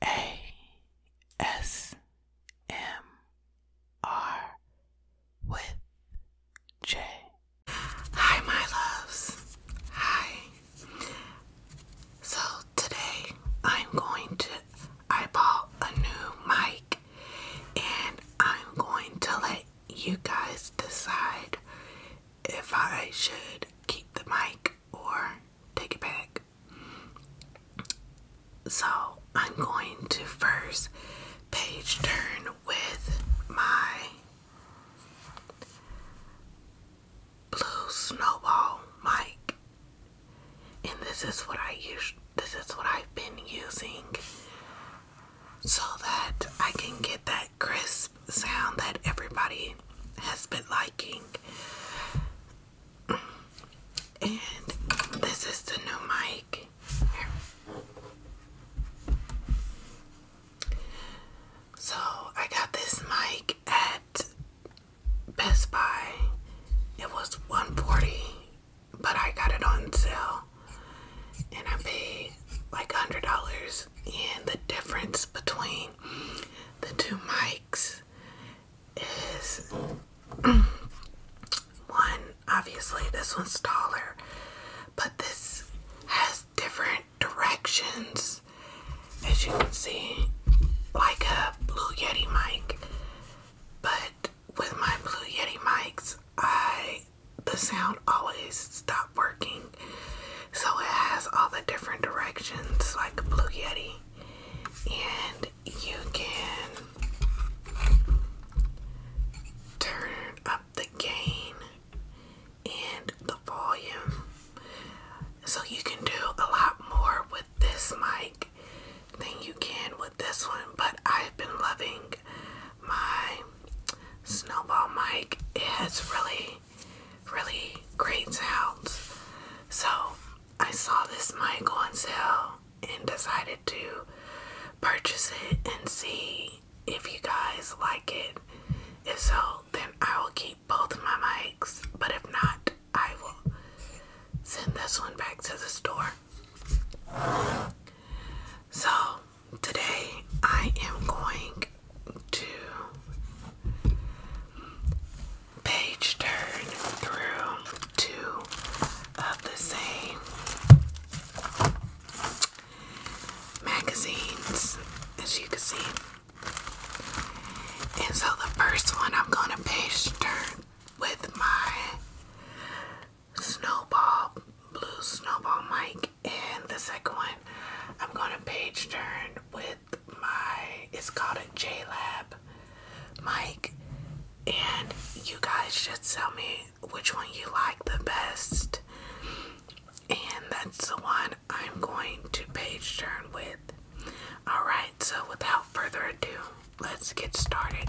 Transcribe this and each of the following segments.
ASMR with J. Hi, my loves. Hi. So, today I'm going to. I bought a new mic and I'm going to let you guys decide if I should keep the mic or take it back. So I'm going to first page turn with my blue snowball mic. And this is what I use this is what I've been using so that I can get that crisp sound that everybody has been liking. And this is the new mic. So I got this mic at Best Buy. It was 140 but I got it on sale and I paid like $100 and the difference between the two mics is one, obviously, this one's taller, but this has different directions as you can see, like a Blue Yeti mic. But with my Blue Yeti mics, I the sound always stopped working, so it has all the different directions like Blue Yeti and you can turn up the gain and the volume so you can do a lot more with this mic than you can with this one but I've been loving my snowball mic it has really really great sounds. So I saw this mic on sale and decided to purchase it and see if you guys like it. If so, then I will keep both of my mics, but if not, I will send this one back to the store. So today I am going to page turn through two of the same magazines, as you can see. And so the first one I'm going to page turn with my Snowball, Blue Snowball mic, and the second one I'm going to page turn with my it's called a J Lab mic and you guys should tell me which one you like the best and that's the one I'm going to page turn with. Alright, so without further ado, let's get started.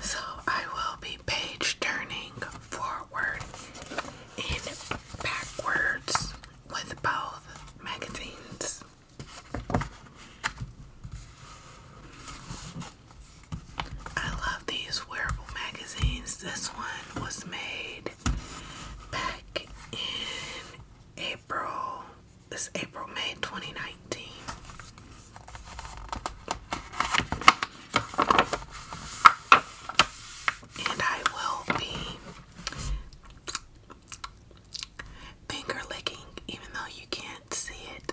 So I will be page turning forward and backwards with both magazines. I love these wearable magazines. This one was made back in April. This April, May 2019. And I will be finger licking, even though you can't see it.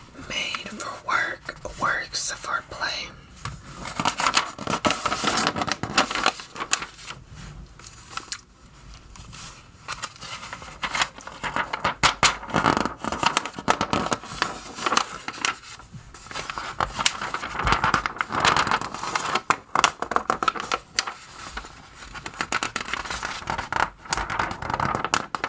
made for work, works for play.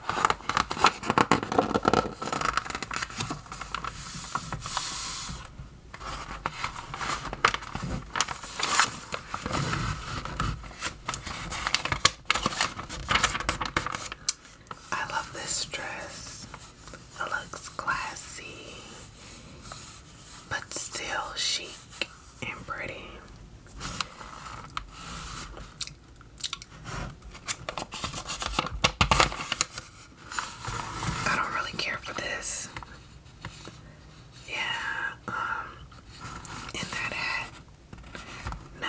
I love this dress. It looks classy, but still chic and pretty. I don't really care for this. Yeah, um, in that hat. No.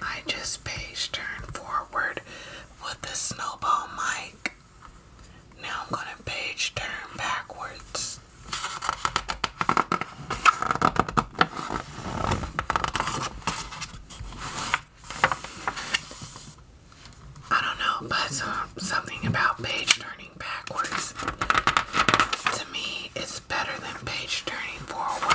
I just page turn forward with the snowball mic. Now I'm gonna page turn backwards. I don't know, but something about page turning backwards to me is better than page turning forward.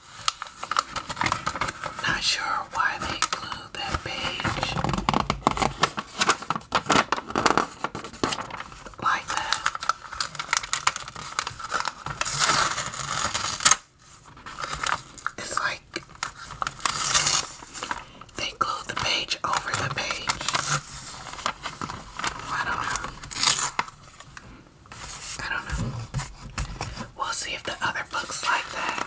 Not sure why they glued that page like that. It's like they glued the page over the page. I don't know. I don't know. We'll see if the other books like that.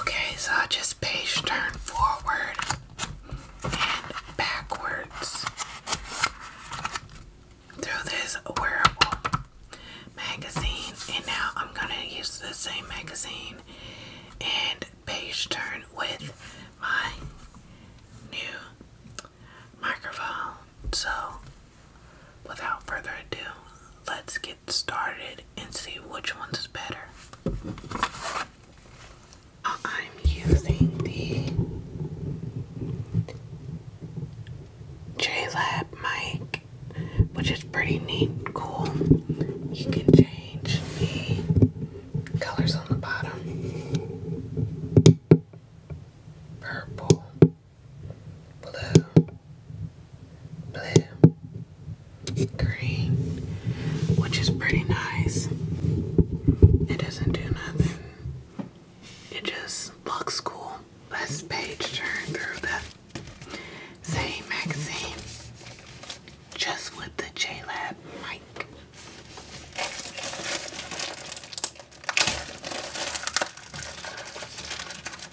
Okay, so I'll just page turn forward and backwards through this wearable magazine, and now I'm gonna use the same magazine and page turn with my new microphone. So Without further ado, let's get started and see which one's better. I'm using the JLab mic, which is pretty neat cool. You can change the colors on the bottom. Purple, blue, blue, green, which is pretty nice. It doesn't do nothing. It just looks cool. Let's page turn through that same magazine just with the JLab mic.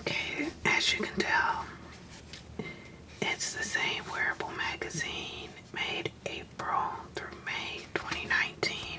Okay, as you can tell, it's the same wearable magazine made April through May 2019.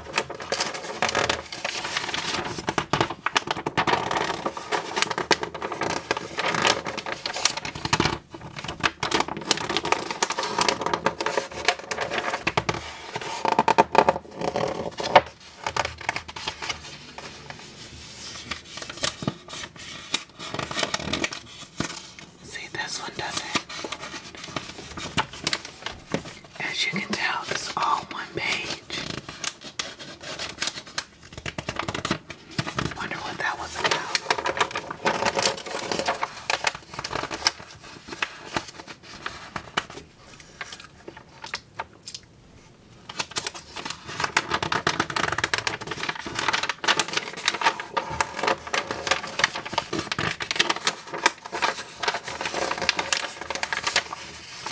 See, this one doesn't. As you can tell, it's all one page. Wonder what that was about.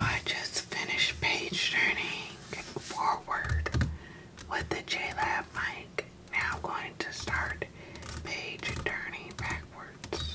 I just finished page turning forward with the JLab mic, now going to start page turning backwards.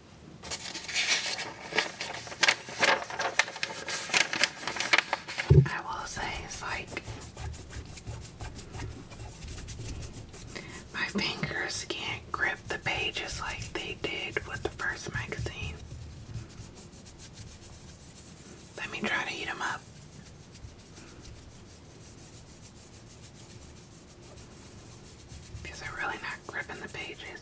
I will say it's like my fingers can't grip the pages like they did with the first magazine. Let me try to eat them up because they're really not gripping the pages.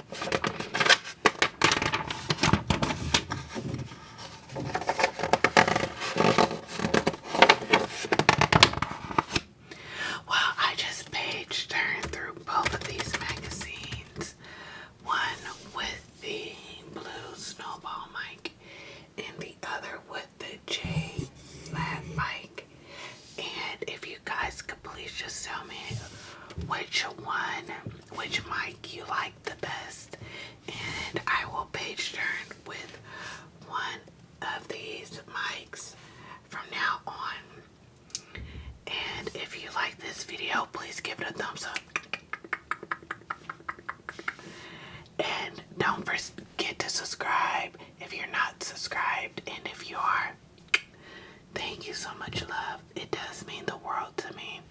Well, I just page turned through both of these magazines. One with the blue snowball mic and the other with the J flat mic. And if you guys could please just tell me which one, which mic you like the best, and I will page turn with one of these mics from now on. And if you like this video, please give it a thumbs up. And don't forget to subscribe if you're not subscribed, and if you are, Thank you so much, love. It does mean the world to me.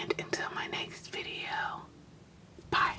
And until my next video, bye.